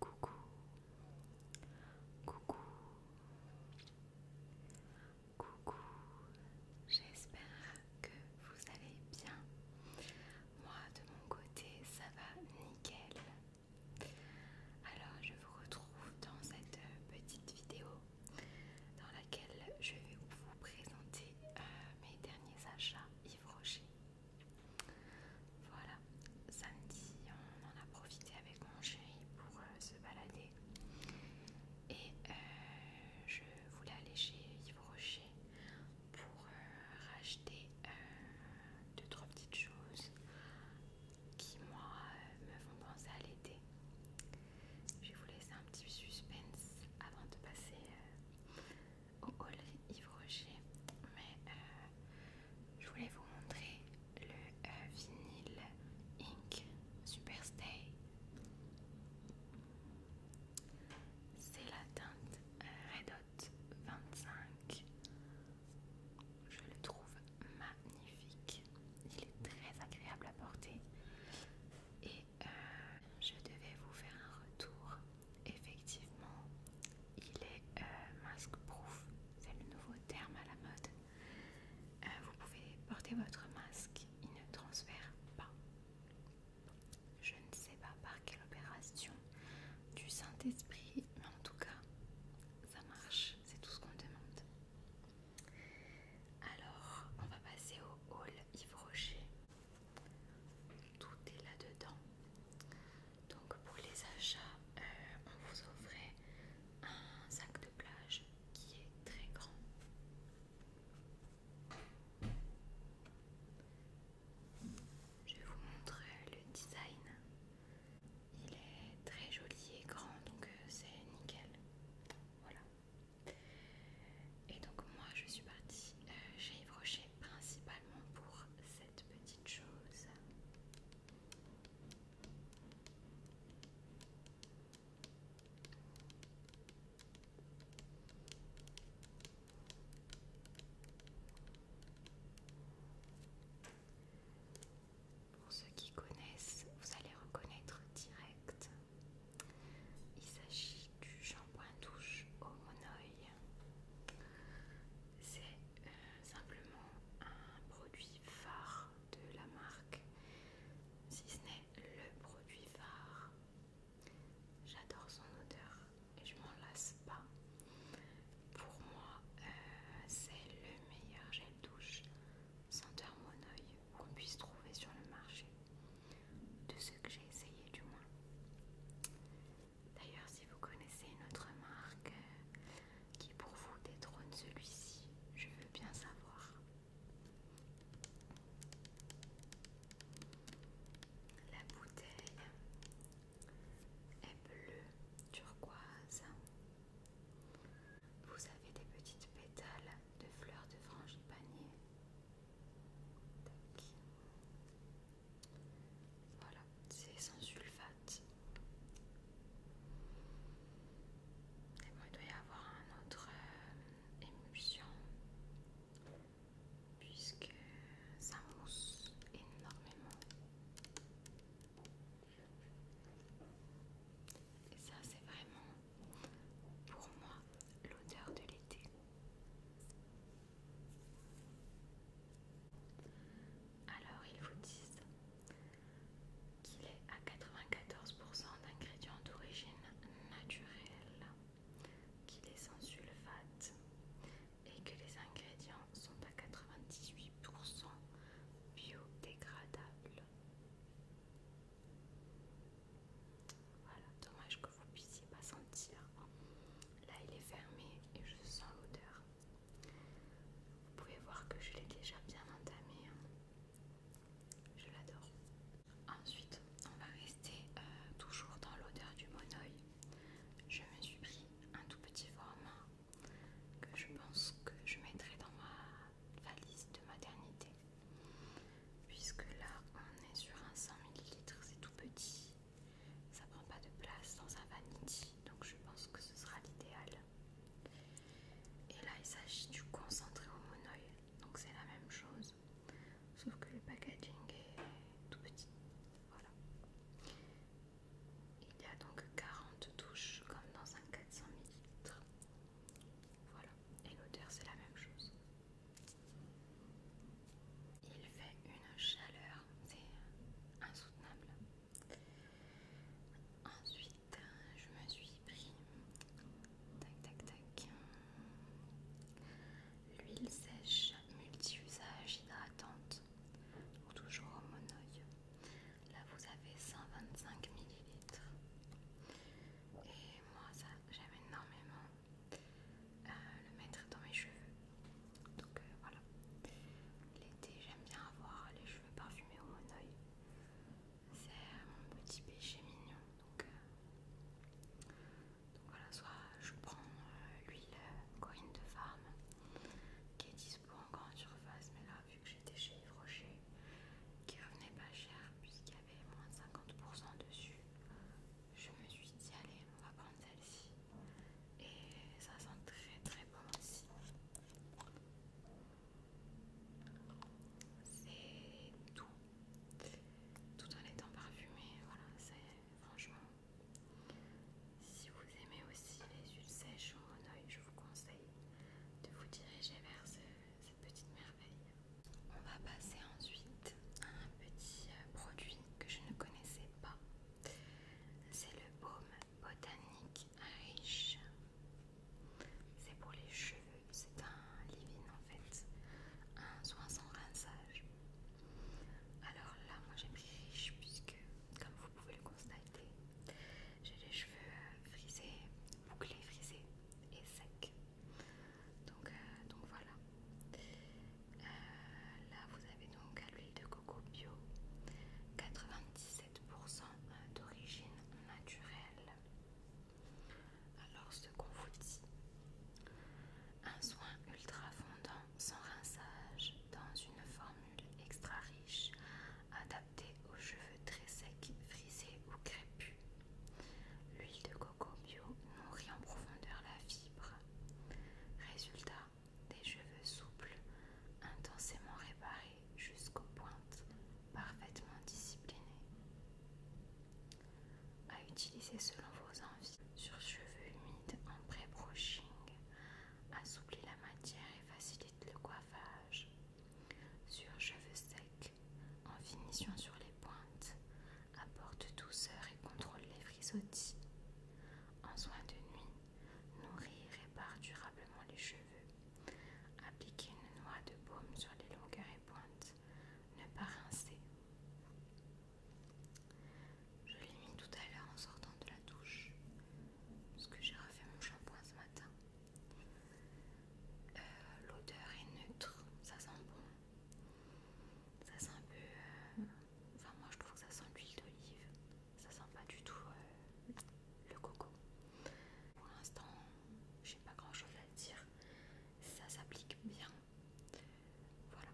Coucou, coucou, coucou, j'espère que vous allez bien. Moi de mon côté ça va nickel. Alors je vous retrouve dans cette petite vidéo dans laquelle je vais vous présenter euh, mes derniers achats Yves Rocher. Voilà, samedi on en a profité avec mon chéri pour euh, se balader et euh, je voulais aller chez Yves Rocher pour euh, racheter euh, deux trois petites choses qui moi me font penser à l'été. Je vais vous laisser un petit suspense avant de passer au Yves Rocher, mais euh, je voulais vous montrer le euh, vinyle Ink Superstay. C'est la teinte euh, Red Hot 25. Je le trouve magnifique. Il est très agréable à porter. Et je devais vous faire un retour effectivement, il est euh, masque proof, c'est le nouveau terme à la mode. Euh, vous pouvez porter votre masque, il ne transfère pas. Je ne sais pas par quelle opération du Saint-Esprit, mais en tout cas, ça marche, c'est tout ce qu'on demande. Alors, on va passer au hall Yves Rocher. Tout est là-dedans. Donc pour les achats, euh, on vous offrait un sac de plage qui est très grand. Je vous montre le design. Il est très joli et grand, donc euh, c'est nickel. Voilà. Et donc moi je suis partie j'ai euh, chez principalement pour cette petite chose. Pour ceux qui connaissent, vous allez reconnaître direct. Il s'agit du shampoing douche au monoeil c'est euh, simplement un produit phare de la marque, si ce n'est le produit phare. J'adore son odeur et je m'en lasse pas. Pour moi, euh, c'est le meilleur gel douche senteur monoeil qu'on puisse trouver sur le marché, de ce que j'ai essayé du moins. D'ailleurs, si vous connaissez une autre marque euh, qui pour vous détrône celui-ci, je veux bien savoir. La bouteille est bleue turquoise. Vous avez des petites pétales de fleurs de frangipanier. panier. Voilà, c'est sans sulfate. Et il doit y avoir un autre euh, émulsion puisque ça mousse énormément. Et ça, c'est vraiment pour moi l'odeur de l'été. Alors ils vous disent qu'il est à 94% d'ingrédients d'origine naturelle, qu'il est sans sulfate et que les ingrédients sont à 98% biodégradables. Voilà, dommage que vous ne puissiez pas sentir. Là, il est fermé et je sens l'odeur. Vous pouvez voir que je l'ai déjà bien entamé. Hein. Je l'adore. Ensuite, on va rester euh, toujours dans l'odeur du monoï. Je me suis pris un tout petit format que je pense que je mettrai dans ma valise de maternité. Puisque là, on est sur un 100 ml, c'est tout petit. Ça prend pas de place dans un vanity, donc je pense que ce sera l'idéal. Et là, il s'agit du concentré au monoï, donc c'est la même chose, sauf que le packaging est tout petit. Voilà. Il y a donc 40 touches comme dans un 400 ml. Voilà, et l'odeur c'est la même chose. Il fait une chaleur, c'est insoutenable. Ensuite, je me suis pris tac l'huile sèche multi-usage hydratante, toujours au monoï. Là, vous avez 125 ml. Et moi, ça, j'aime énormément euh, le mettre dans mes cheveux. Donc euh, voilà. L'été, j'aime bien avoir les cheveux parfumés au monoeil. C'est mon petit péché mignon. Donc, euh, voilà, soit je prends euh, l'huile Corinne de Farm qui est dispo en grande surface, mais là, vu que j'étais chez Yves Rocher, qui revenait pas cher puisqu'il y avait moins de 50% dessus, je me suis dit, allez, on va prendre celle-ci et ça sent très très bon aussi. C'est tout, tout en étant parfumé. Voilà, franchement. Si vous aimez aussi les huiles sèches au monoeil, je vous conseille de vous diriger vers cette petite merveille. On va passer ensuite à un petit euh, produit que je ne connaissais pas. C'est le baume botanique riche. C'est pour les cheveux, c'est un l'ivin en fait, un soin sans rinçage. Alors là, moi j'ai pris riche puisque, comme vous pouvez le constater, j'ai les cheveux euh, frisés, bouclés, frisés et secs. Donc, euh, donc voilà. Euh, là, vous avez donc à l'huile de coco coco 97% d'origine naturelle. Alors ce qu'on vous dit, un soin ultra fondant sans rinçage dans une formule extra riche, adaptée aux cheveux très secs, frisés ou crépus. L'huile de coco bio nourrit en profondeur la fibre. Résultat des cheveux souples, intensément réparés jusqu'aux pointes, parfaitement disciplinés. À utiliser selon vos envies, sur cheveux humides en pré-brushing, assouplit la matière et facilite le coiffage. Sur cheveux secs, en finition sur les pointes, apporte douceur et contrôle les frisottis. En soin de nuit, Nourrir et par durablement les cheveux. Appliquer une noix de baume sur les longueurs et pointes. Ne pas rincer. Je l'ai mis tout à l'heure en sortant de la douche. Parce que j'ai refait mon shampoing ce matin. Euh, l'odeur est neutre. Ça sent bon. Ça sent un peu... Euh, enfin moi je trouve que ça sent l'huile d'olive ça sent pas du tout euh, le coco. Pour l'instant, j'ai pas grand chose à dire. Ça s'applique bien. Voilà,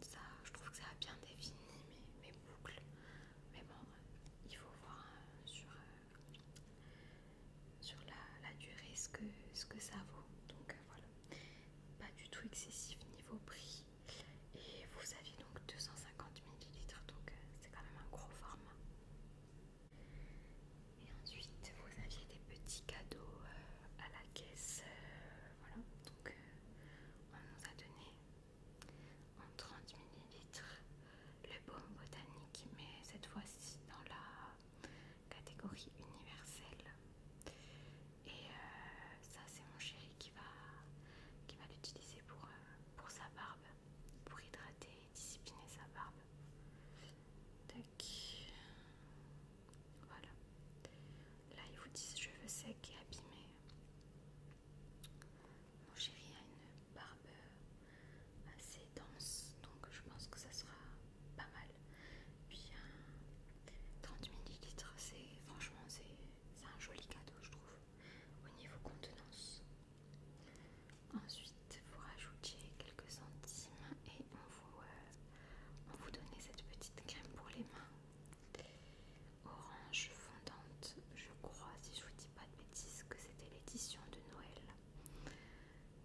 ça, je trouve que ça a bien défini mes, boucles. Mais bon, euh, il faut voir euh, sur, sur la, durée ce que, ça vaut. Donc voilà, pas du tout excessif niveau prix. Et vous aviez donc 250 ml, donc euh, c'est quand même un gros format. Et ensuite, vous aviez des petits cadeaux euh, à la caisse. Euh, voilà, donc on nous a donné en 30 ml le baume botanique, mais cette fois-ci dans la catégorie universelle. Et ça, c'est mon chéri qui va, l'utiliser pour, pour sa barbe, pour hydrater et discipliner sa barbe. Voilà. Là, ils vous disent cheveux secs et abîmés. Mon chéri a une barbe assez dense, donc je pense que ça sera pas mal. Puis 30 euh, ml, c'est franchement c'est un joli cadeau, je trouve au niveau contenance. Ensuite, vous rajoutez quelques centimes et euh, on vous, donnait cette petite crème pour les mains. Orange fondante, je crois, si je vous dis pas de bêtises, que c'était l'édition de Noël.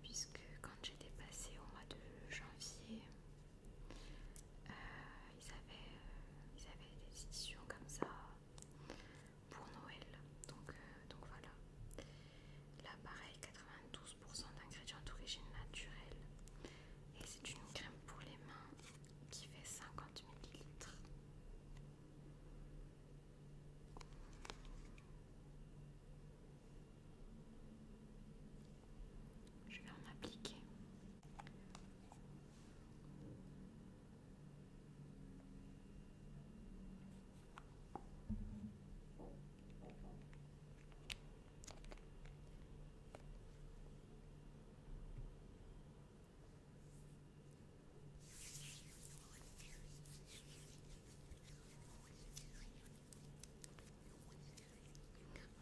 Puisque quand j'étais passée au mois de janvier, euh, ils avaient des éditions comme ça pour Noël. Donc, euh, donc voilà. l'appareil 92% d'ingrédients d'origine naturelle. Et c'est une crème pour les mains qui fait 50 ml. Je vais en appliquer.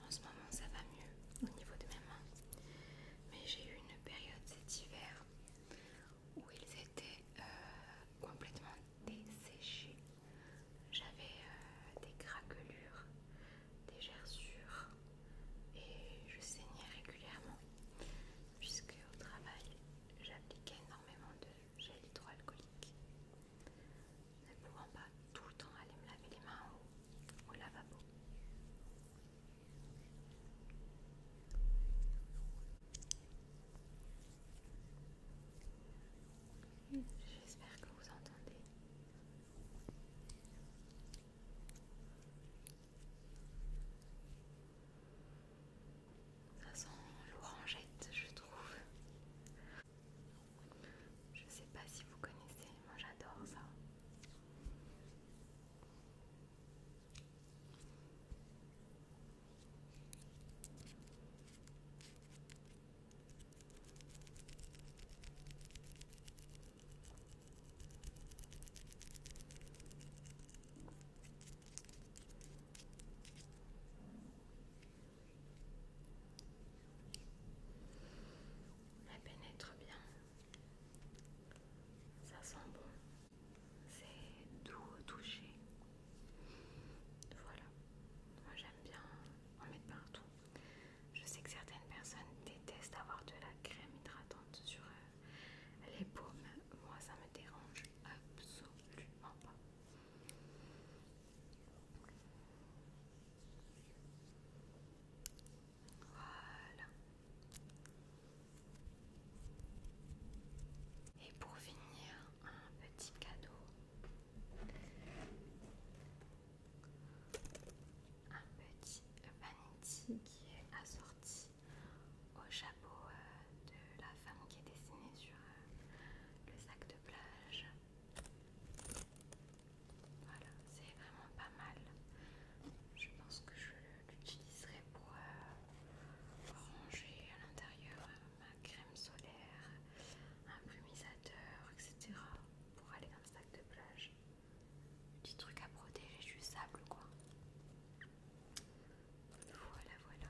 En ce moment, ça va mieux au niveau de mes mains, mais j'ai eu une période cet hiver où ils étaient euh, complètement desséchés. J'avais euh, des craquelures, des gerçures et je saignais régulièrement puisque au travail j'appliquais énormément de gel hydroalcoolique. Ne pouvant pas tout le temps aller me laver les mains au lavabo. J'espère que vous entendez. Ça sent l'orangette, je trouve. Je sais pas si vous connaissez, moi j'adore ça. Elle pénètre bien. Ça sent bon c'est doux au toucher. Voilà, moi j'aime bien en mettre partout. Je sais que certaines personnes détestent avoir de la crème hydratante sur euh, les paumes. Moi ça me dérange absolument pas. Voilà. Et pour finir, un petit cadeau. Un petit vanity qui est assorti au chapeau euh, de la femme qui est dessinée sur euh, le sac de plage. Voilà, c'est vraiment pas mal. Je pense que je l'utiliserai pour euh, ranger à l'intérieur euh, ma crème solaire, un brumisateur, etc. Pour aller dans le sac de plage. Petit truc à protéger du sable, quoi. Voilà, voilà.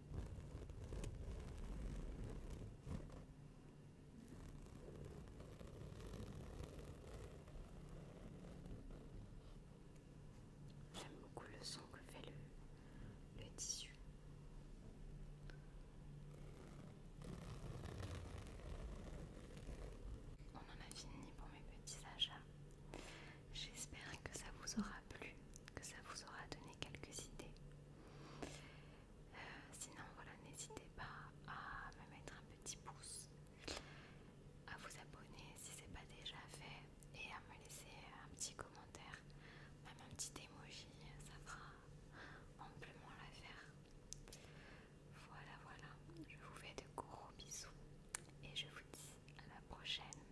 J'aime beaucoup le son que fait le, tissu. On en a fini pour mes petits achats. J'espère que ça vous aura plu, que ça vous aura donné quelques idées sinon, voilà, n'hésitez pas à me mettre un petit pouce, à vous abonner si ce n'est pas déjà fait et à me laisser un petit commentaire, même un petit emoji, ça fera amplement l'affaire. Voilà, voilà, je vous fais de gros bisous et je vous dis à la prochaine.